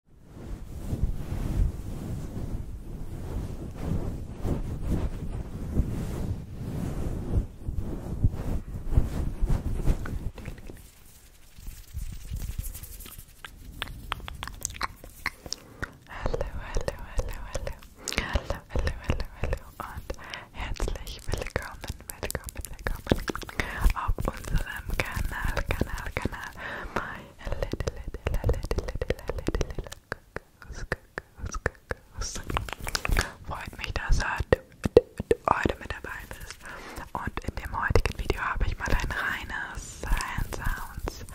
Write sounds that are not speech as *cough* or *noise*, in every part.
hallo, hallo, hallo, hallo, hallo hallo, hallo und herzlich willkommen, willkommen, willkommen auf unserem Kanal, Kanal, Kanal. My a little, little, a little, little, little, little Kuckucks, Kuckucks, Kuckucks. Freut mich, dass du heute mit dabei bist. Und in dem heutigen Video habe ich mal ein reines Hand Sounds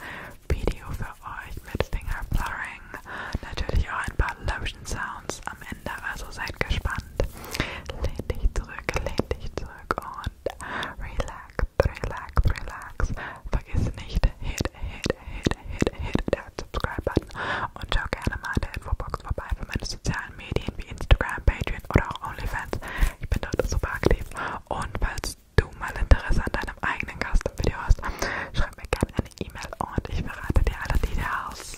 Video für euch mit Finger Blurring. Natürlich auch ein paar Lotion Sounds am Ende, also seid gespannt. Lehn dich zurück, lehn dich zurück. Tag und relax, relax, relax. Vergiss nicht, hit, hit, hit, hit, hit der Subscribe-Button und schau gerne mal in der Infobox vorbei für meine sozialen Medien wie Instagram, Patreon oder auch OnlyFans. Ich bin dort super aktiv und falls du mal Interesse an deinem eigenen Custom-Video hast, schreib mir gerne eine E-Mail und ich verrate dir alle Details.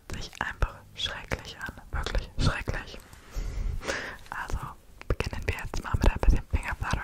hört sich einfach schrecklich an. Wirklich schrecklich. Also beginnen wir jetzt mal mit ein bisschen Fingerfluttering.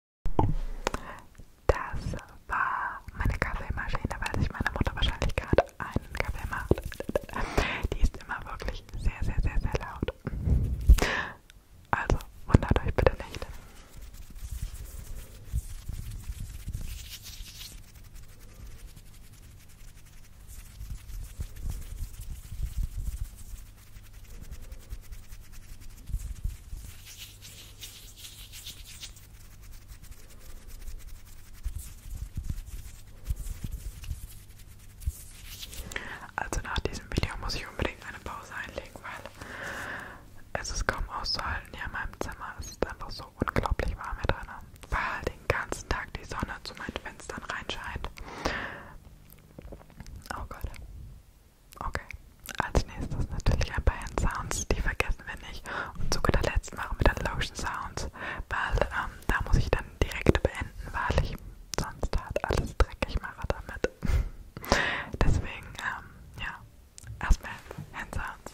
Das war meine Kaffeemaschine, weil sich meine Mutter wahrscheinlich gerade einen Kaffee macht. Die ist immer wirklich sehr, sehr, sehr, sehr laut. Also wundert euch bitte nicht. Hm. Also nach diesem Video muss ich unbedingt eine Pause einlegen, weil es ist kaum auszuhalten hier in meinem Zimmer. Es ist einfach so unglaublich warm hier drin, weil halt den ganzen Tag die Sonne zu meinen Fenstern reinscheint. Oh Gott. Okay. Als nächstes natürlich ein paar Hand Sounds, die vergessen wir nicht. Und zu guter Letzt machen wir dann Lotion Sounds, weil ähm, da muss ich dann direkt beenden, weil ich sonst halt alles dreckig mache damit. *laughs* Deswegen, ähm, ja, erstmal Hand Sounds.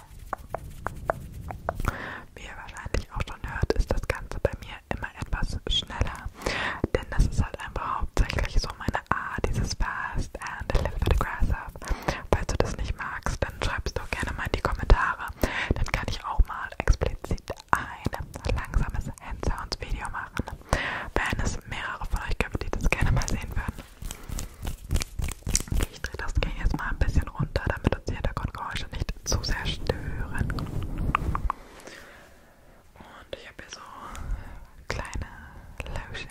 Wie ihr wahrscheinlich auch schon hört, ist das Ganze bei mir immer etwas schneller. Denn das ist halt einfach hauptsächlich so meine Art, dieses Fast and Live Aggressive. Falls du das nicht magst, dann schreibst du gerne mal in die Kommentare. Dann kann ich auch mal explizit ein langsames Handsounds Video machen. Wenn es mehrere von euch gibt, die das gerne mal sehen würden, ich drehe das Ding jetzt mal ein bisschen runter, damit uns die Hintergrundgeräusche nicht zu sehr stören. Und ich habe hier so kleine Lotion.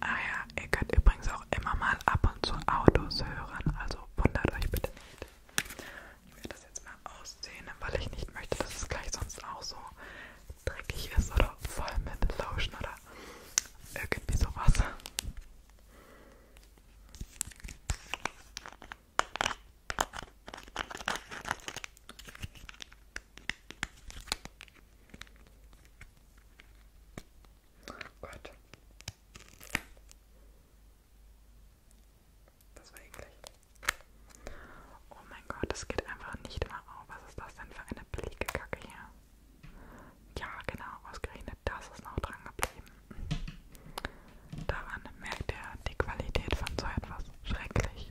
Ah ja, ihr könnt übrigens auch immer mal ab und zu Autos hören, also wundert euch bitte nicht. Ich werde das jetzt mal ausziehen, weil ich nicht möchte, dass es gleich sonst auch so dreckig ist oder voll mit Lotion oder irgendwie sowas. Gott. Das war eklig. Oh mein Gott, das geht einfach nicht mehr auf. Was ist das denn für eine billige Kacke hier? Ja, genau, ausgerechnet das ist noch dran geblieben. Daran merkt ihr die Qualität von so etwas. Schrecklich.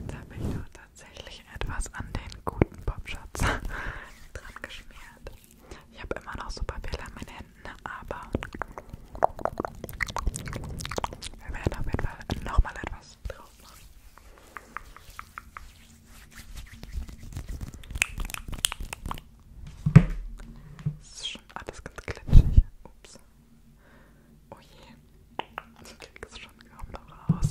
Jetzt habe ich doch tatsächlich etwas an den guten Popschutz *laughs* dran geschmiert. Ich habe immer noch super viel an meinen Händen, aber wir werden auf jeden Fall nochmal etwas drauf machen. So schon ah, alles ganz glitschig. Ups. Oh je. Ich krieg es schon kaum noch raus.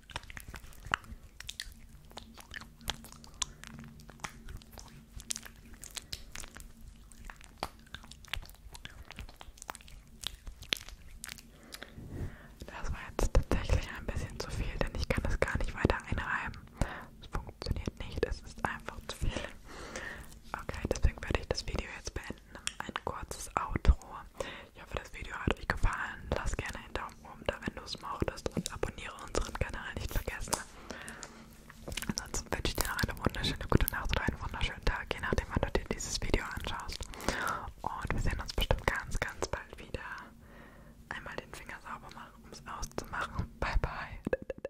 Das war jetzt tatsächlich ein bisschen zu viel, denn ich kann es gar nicht weiter einreiben. Es funktioniert nicht, es ist einfach zu viel. Okay, deswegen werde ich das Video jetzt beenden. Ein kurzes Outro. Ich hoffe, das Video hat euch gefallen. Lasst gerne einen Daumen Daumen da, wenn du es mochtest und abonniere unseren Kanal nicht vergessen. Ansonsten wünsche ich dir noch eine wunderschöne gute Nacht oder einen wunderschönen Tag, je nachdem wann du dir dieses Video anschaust. Und wir sehen uns bestimmt ganz, ganz bald wieder. Einmal den Finger sauber machen, um es auszumachen. Bye, bye.